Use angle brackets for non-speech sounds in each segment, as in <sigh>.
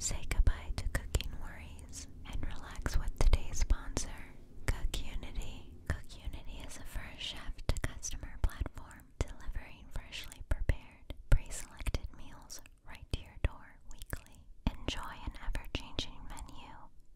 Say goodbye to cooking worries and relax with today's sponsor, Cookunity. Cookunity is a first chef to customer platform delivering freshly prepared, pre selected meals right to your door weekly. Enjoy an ever-changing menu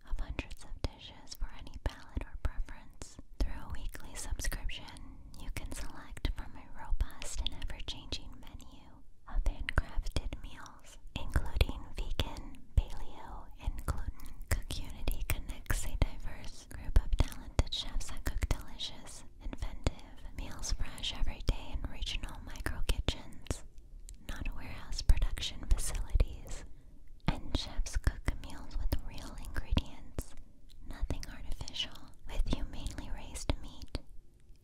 of hundreds of dishes for any palate or preference. Through a weekly subscription, you can select from a robust and ever-changing menu of handcrafted meals, including vegan, paleo, and gluten. Cookunity connects a diverse group of talented chefs that cook delicious, inventive, meals fresh every day in regional micro kitchens, not warehouse production facilities. And chefs cook meals with real ingredients, nothing artificial, with humanely raised meat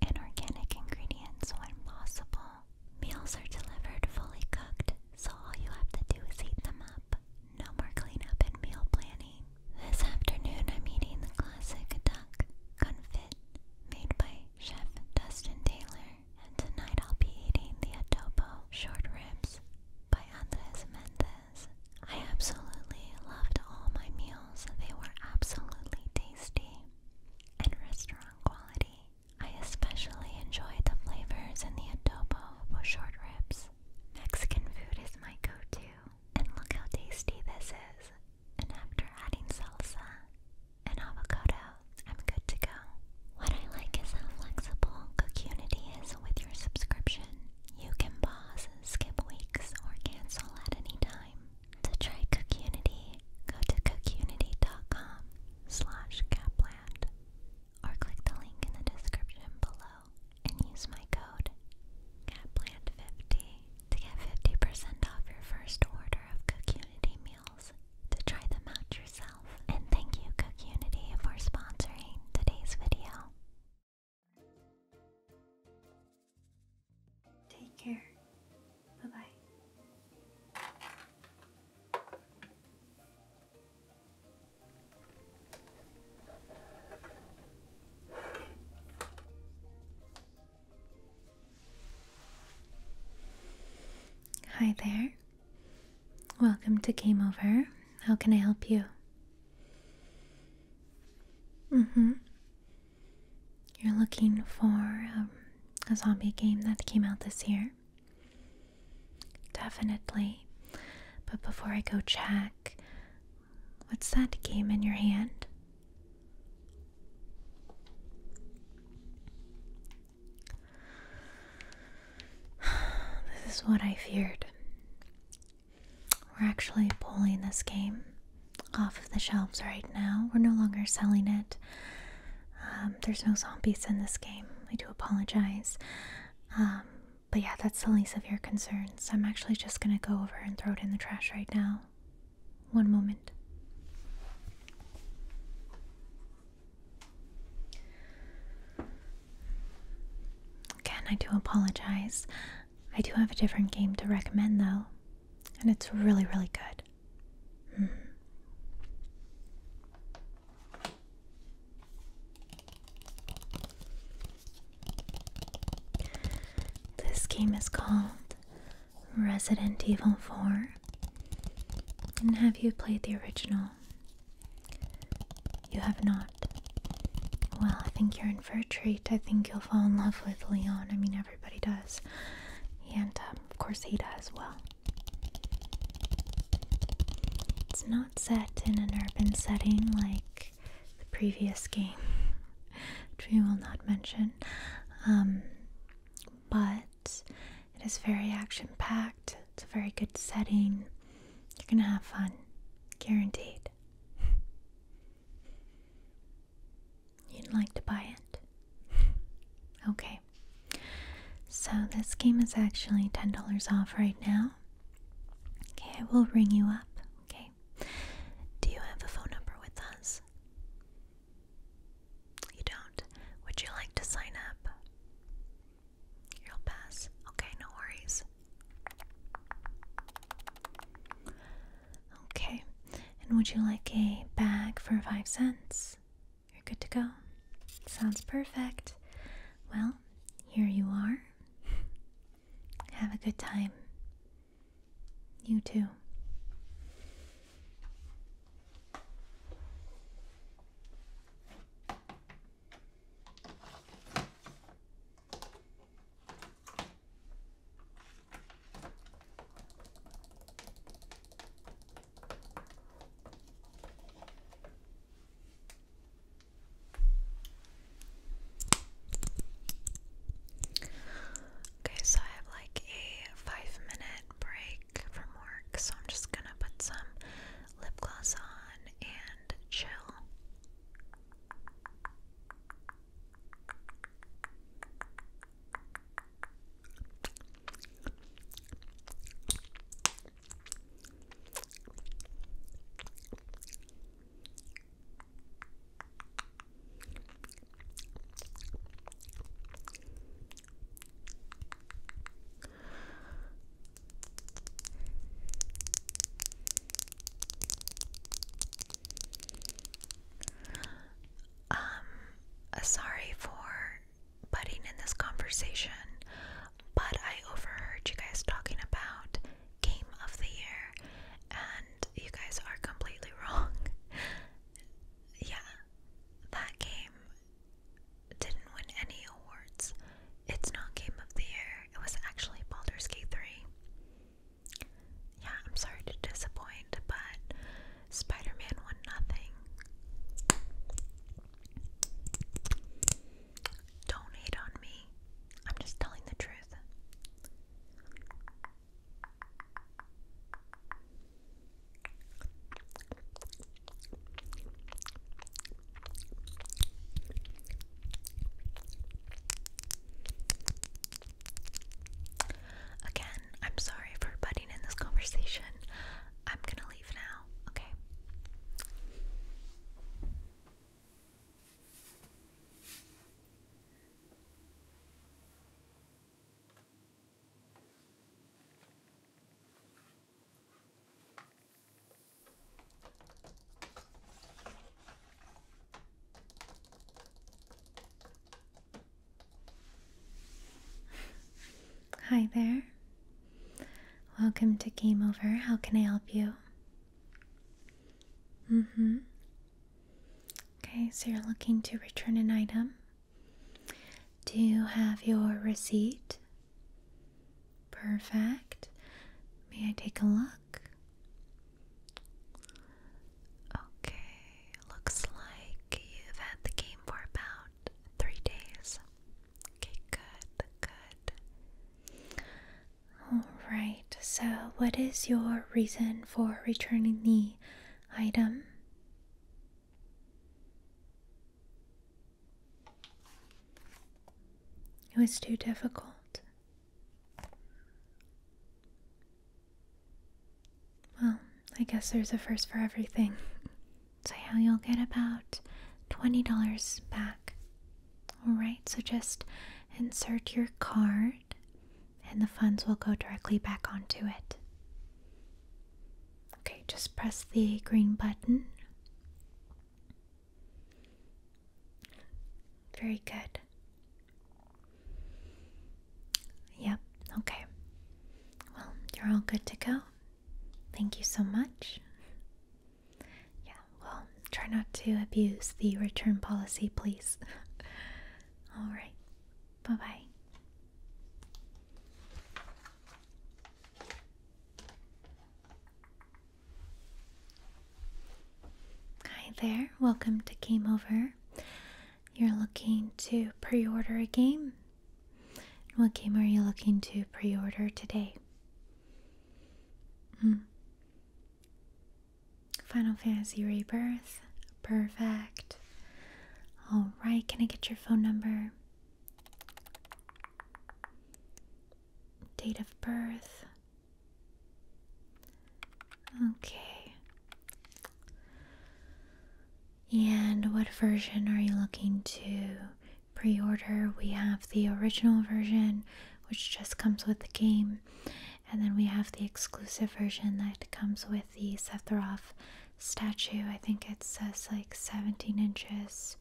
and organic ingredients when possible. Meals are delivered fully cooked, so all you have to do is heat them up. No more cleanup and meal planning. This afternoon I'm eating the classic duck confit made by Chef Dustin Taylor, and tonight I'll be eating the adobo short ribs by Andres Mendez. I absolutely loved all my meals, they were absolutely tasty and restaurant quality. I especially enjoyed the flavors in the adobo short ribs. Mexican food is my go to, and look how tasty this is. And after adding salsa and avocado, I'm good to go. What I like is how flexible Cocunity is with your subscription. You can pause, skip weeks, or cancel at any time. To try Cocunity, go to cocunity.com slash or click the link in the description below and use my code capland50 to get 50% off your first order of Cook meals. To try them out yourself. And thank you Cook for sponsoring today's video. Take care. Bye-bye. Hi there. Welcome to Game Over. How can I help you? Mm hmm. You're looking for um, a zombie game that came out this year? Definitely. But before I go check, what's that game in your hand? <sighs> This is what I feared. We're actually pulling this game off of the shelves right now. We're no longer selling it. Um, there's no zombies in this game. I do apologize. Um, but yeah, that's the least of your concerns. I'm actually just gonna go over and throw it in the trash right now. One moment. Again, I do apologize. I do have a different game to recommend, though, and it's really, really good. Mm-hmm. This game is called Resident Evil 4? And have you played the original? You have not. Well, I think you're in for a treat. I think you'll fall in love with Leon. I mean, everybody does. And, um, of course, he does. well. It's not set in an urban setting like the previous game, <laughs> which we will not mention. Um, but it is very action packed, it's a very good setting. You're gonna have fun, guaranteed. <laughs> You'd like to buy it? <laughs> Okay. So, this game is actually $10 off right now. Okay, I will ring you up. Okay. Do you have a phone number with us? You don't? Would you like to sign up? You'll pass. Okay, no worries. Okay, and would you like a bag for five cents? You're good to go. Sounds perfect. Well, here you are. Have a good time. You too. Okay, so I have like a five minute break from work, so I'm just gonna put some lip gloss on and chill. Um, sorry for butting in this conversation, but I overheard you guys talking about game of the year, and you guys are completely <laughs> wrong yeah, that game didn't win any awards. It's not Game of the Year. It was actually Baldur's Gate 3. Yeah, I'm sorry to disappoint, but Spider Man won nothing. Don't hate on me. I'm just telling the truth. Again, I'm sorry for butting in this conversation. I'm gonna leave now, okay? Hi there. Welcome to Game Over. How can I help you? Mm hmm. Okay, so you're looking to return an item. Do you have your receipt? Perfect. May I take a look? Okay, looks like you've had the game for about three days. Okay, good, good. Alright, so what is your reason for returning the item. It was too difficult. Well, I guess there's a first for everything. <laughs> So, yeah, you'll get about $20 back. Alright, so just insert your card and the funds will go directly back onto it. Okay, just press the green button. Very good. Yep, okay. Well, you're all good to go. Thank you so much. Yeah, well, try not to abuse the return policy, please. <laughs> all right, bye bye. Hi there, welcome to Game Over. You're looking to pre order a game? What game are you looking to pre order today? Hmm. Final Fantasy Rebirth. Perfect. Alright, can I get your phone number? Date of birth. Okay. And what version are you looking to pre order? We have the original version, which just comes with the game, and then we have the exclusive version that comes with the Sephiroth statue. I think it says like 17 inches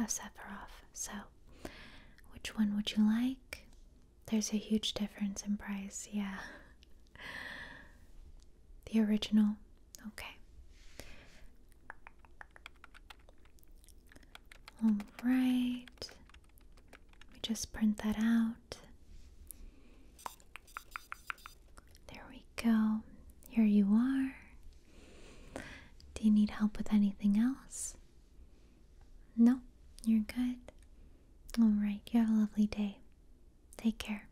of Sephiroth. So, which one would you like? There's a huge difference in price, yeah. <laughs> The original, okay. All right, let me just print that out. There we go. Here you are. Do you need help with anything else? No, you're good. Alright, you have a lovely day. Take care.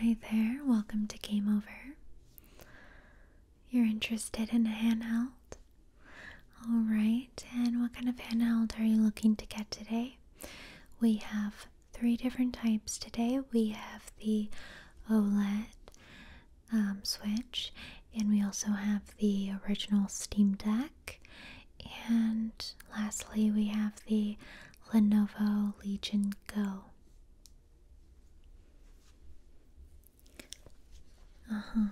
Hi there, welcome to Game Over. You're interested in a handheld? Alright, and what kind of handheld are you looking to get today? We have three different types today. We have the OLED um, Switch, and we also have the original Steam Deck. And lastly, we have the Lenovo Legion Go. Uh huh.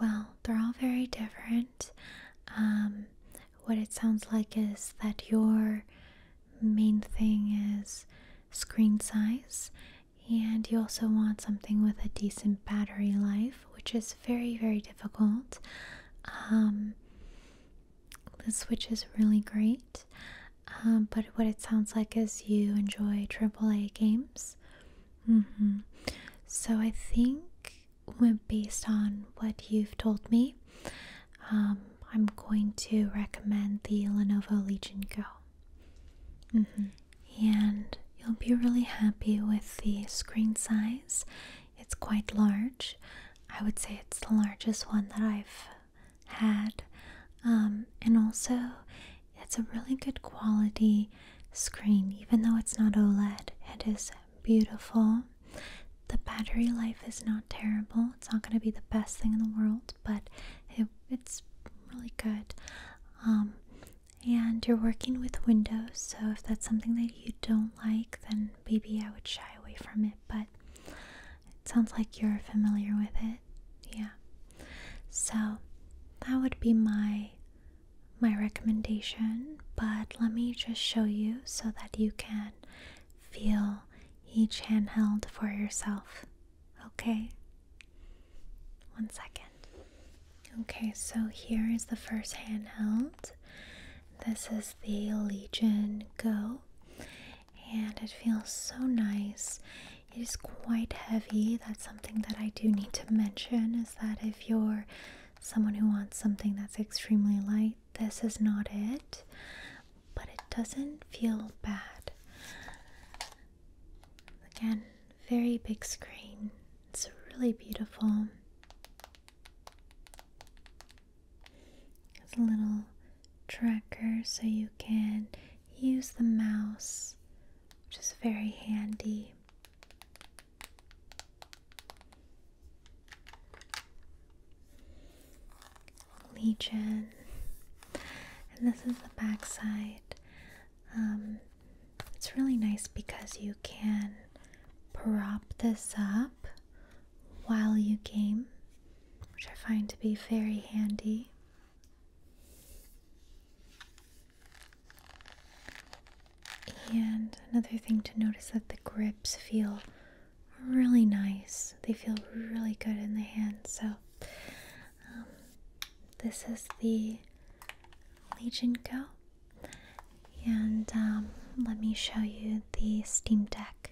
Well, they're all very different. Um, what it sounds like is that your main thing is screen size, and you also want something with a decent battery life, which is very, very difficult. Um, the Switch is really great, um, but what it sounds like is you enjoy AAA games. Mm-hmm. So I think, based on what you've told me, um, I'm going to recommend the Lenovo Legion Go. Mm-hmm and you'll be really happy with the screen size. It's quite large. I would say it's the largest one that I've had, um, and also it's a really good quality screen, even though it's not OLED, it is beautiful. The battery life is not terrible. It's not going to be the best thing in the world, but it's really good. Um, and you're working with windows, so if that's something that you don't like, then maybe I would shy away from it. But it sounds like you're familiar with it, yeah. So that would be my my recommendation. But let me just show you so that you can feel each handheld for yourself. Okay. One second. Okay, so here is the first handheld. This is the Legion Go, and it feels so nice. It is quite heavy. That's something that I do need to mention is that if you're someone who wants something that's extremely light, this is not it, but it doesn't feel bad. Again, very big screen. It's really beautiful. It's a little tracker so you can use the mouse, which is very handy. Legion. And this is the back side. Um, it's really nice because you can prop this up while you game, which I find to be very handy. And another thing to notice that the grips feel really nice. They feel really good in the hand. So um, this is the Legion Go. And um, let me show you the Steam Deck.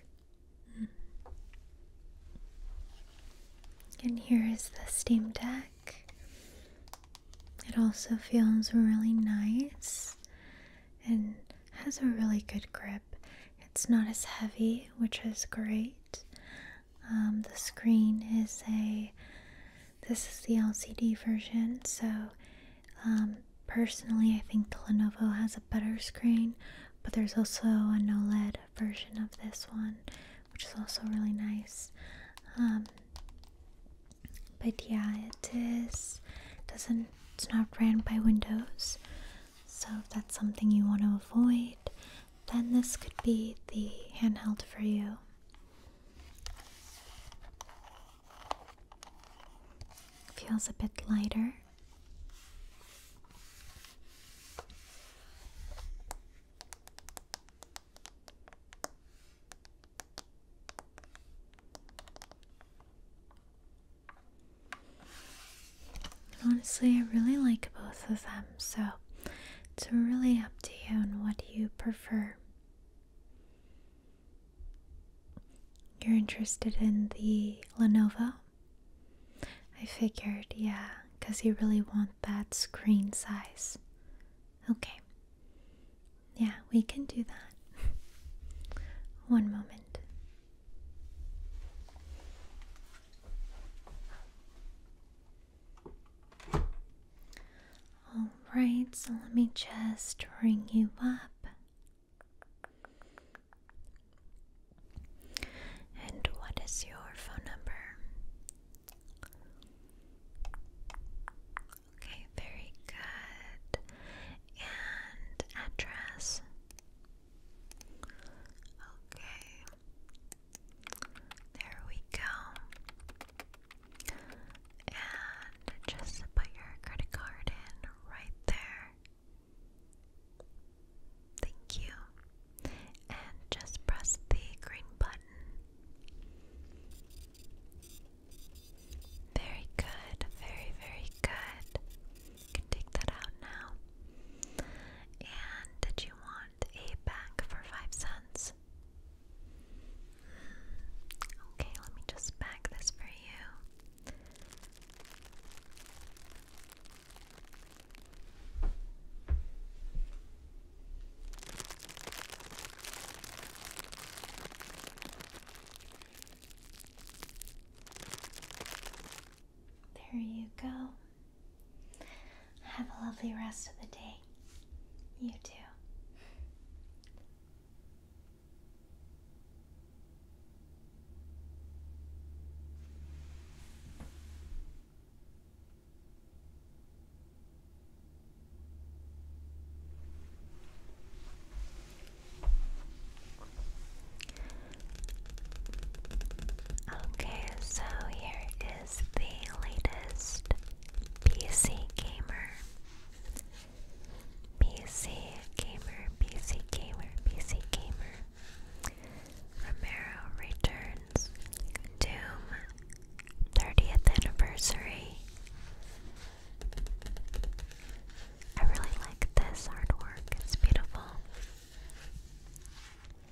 And here is the Steam Deck. It also feels really nice and has a really good grip. It's not as heavy, which is great. Um, the screen is a this is the LCD version, so um, personally, I think the Lenovo has a better screen, but there's also an OLED version of this one, which is also really nice. Um, but yeah, it is doesn't it's not ran by Windows, so if that's something you want to avoid, then this could be the handheld for you. Feels a bit lighter. Honestly, I really like both of them. So it's really up to you and what you prefer. You're interested in the Lenovo? I figured, yeah, because you really want that screen size. Okay. Yeah, we can do that. <laughs> One moment. Alright, so let me just ring you up. And what is your phone number? Okay, very good. And address. Okay. There we go. And just put your credit card in right there. Thank you. And just press the green button. Very good, very, very good. You can take that out now. And did you want a bag for five cents? Okay, let me just pack this for you. There you go. Have a lovely rest of the day. You too. Okay, so here is the latest PC Gamer. PC Gamer, PC Gamer, PC Gamer. Romero returns. Doom 30th anniversary. I really like this artwork, it's beautiful.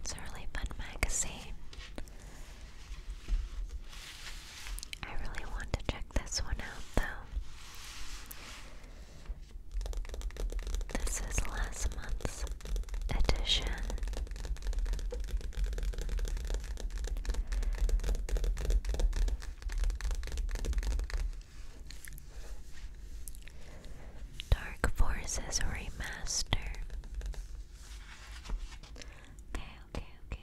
It's a really fun magazine. I really want to check this one out though. This is last month's edition. Dark Forces Remaster. Okay, okay, okay.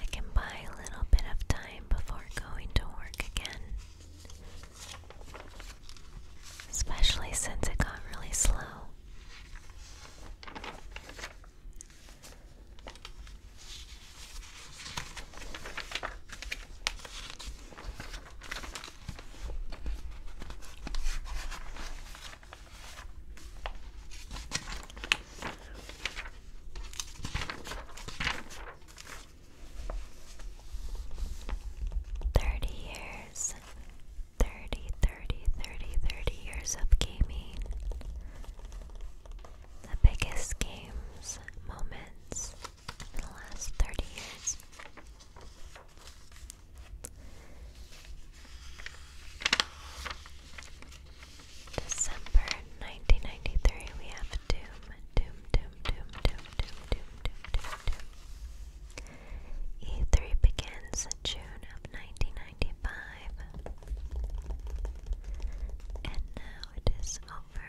I can buy a little bit of time before going to work again. Especially since it got really slow. Thirty years, thirty, thirty, thirty, thirty years of gaming. The biggest games, moments in the last 30 years. December 1993, we have Doom, Doom, Doom, Doom, Doom, Doom, Doom, Doom, Doom, E3 begins in June of 1995. And now it is over.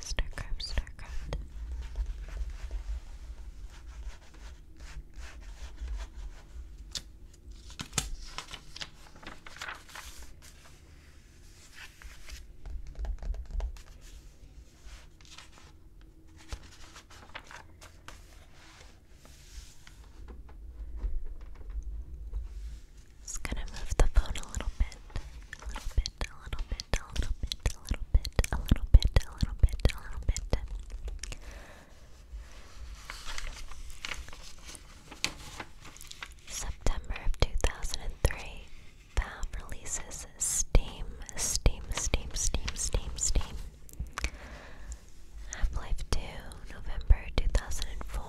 Starcraft, Starcraft. Just gonna move the phone a little bit, a little bit bit, a little bit, a little bit, a little bit, a little bit, a little bit, a little bit. September of 2003, Valve releases Steam, Steam, Steam, Steam, Steam, Steam. Half Life 2, November 2004.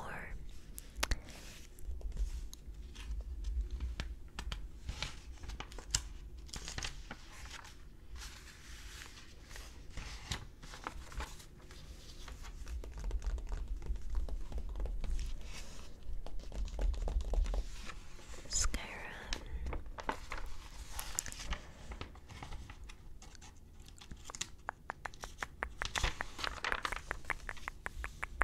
Skyrim.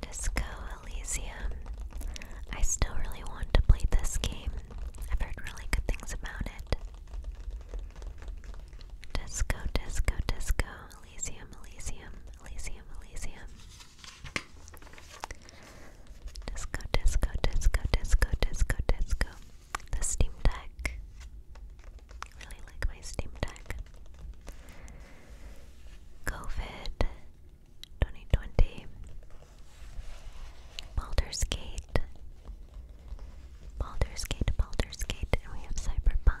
Disco Elysium. I still really want to play this game. I've heard really good things about it. Disco, disco, disco. Elysium, Elysium, Elysium, Elysium. Disco, disco, disco, disco, disco, disco the Steam Deck. Really like my Steam Deck. COVID 2020. Baldur's Gate. Baldur's Gate, Baldur's Gate, and we have Cyberpunk.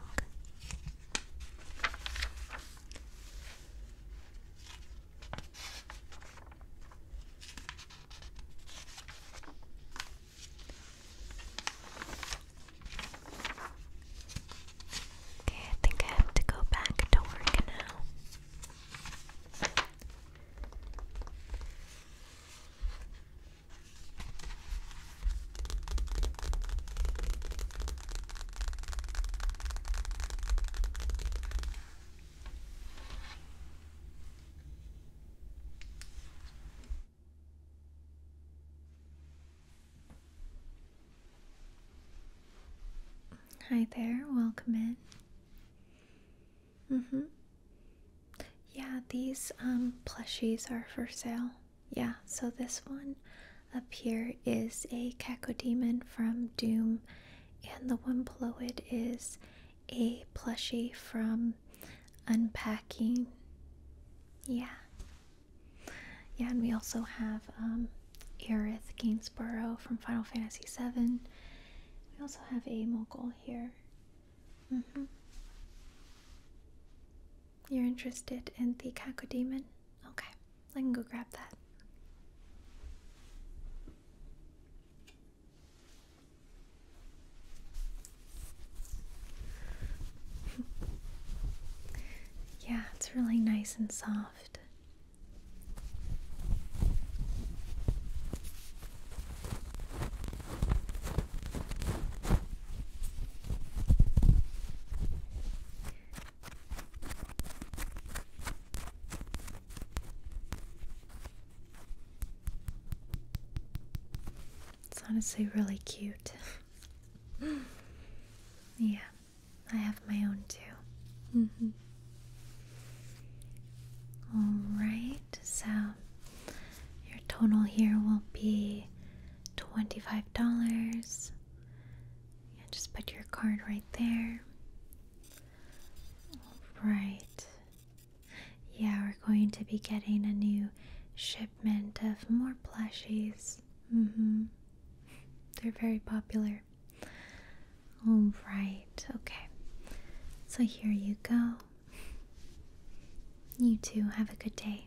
Okay, I think I have to go back to work now. Hi there, welcome in. Mm-hmm. Yeah, these um plushies are for sale. Yeah, so this one up here is a cacodemon from Doom, and the one below it is a plushie from unpacking. Yeah. Yeah, and we also have um, Aerith Gainsborough from Final Fantasy VII. We also have a mogul here. Mm-hmm. You're interested in the Kako Okay, let me go grab that. <laughs> yeah, it's really nice and soft. It's honestly really cute. <gasps> yeah, I have my own too. Mm -hmm. Alright, so your total here will be $25. Yeah, just put your card right there. Alright, yeah, we're going to be getting a new shipment of more plushies. Mm hmm. They're very popular. Alright, okay. So here you go. You too, have a good day.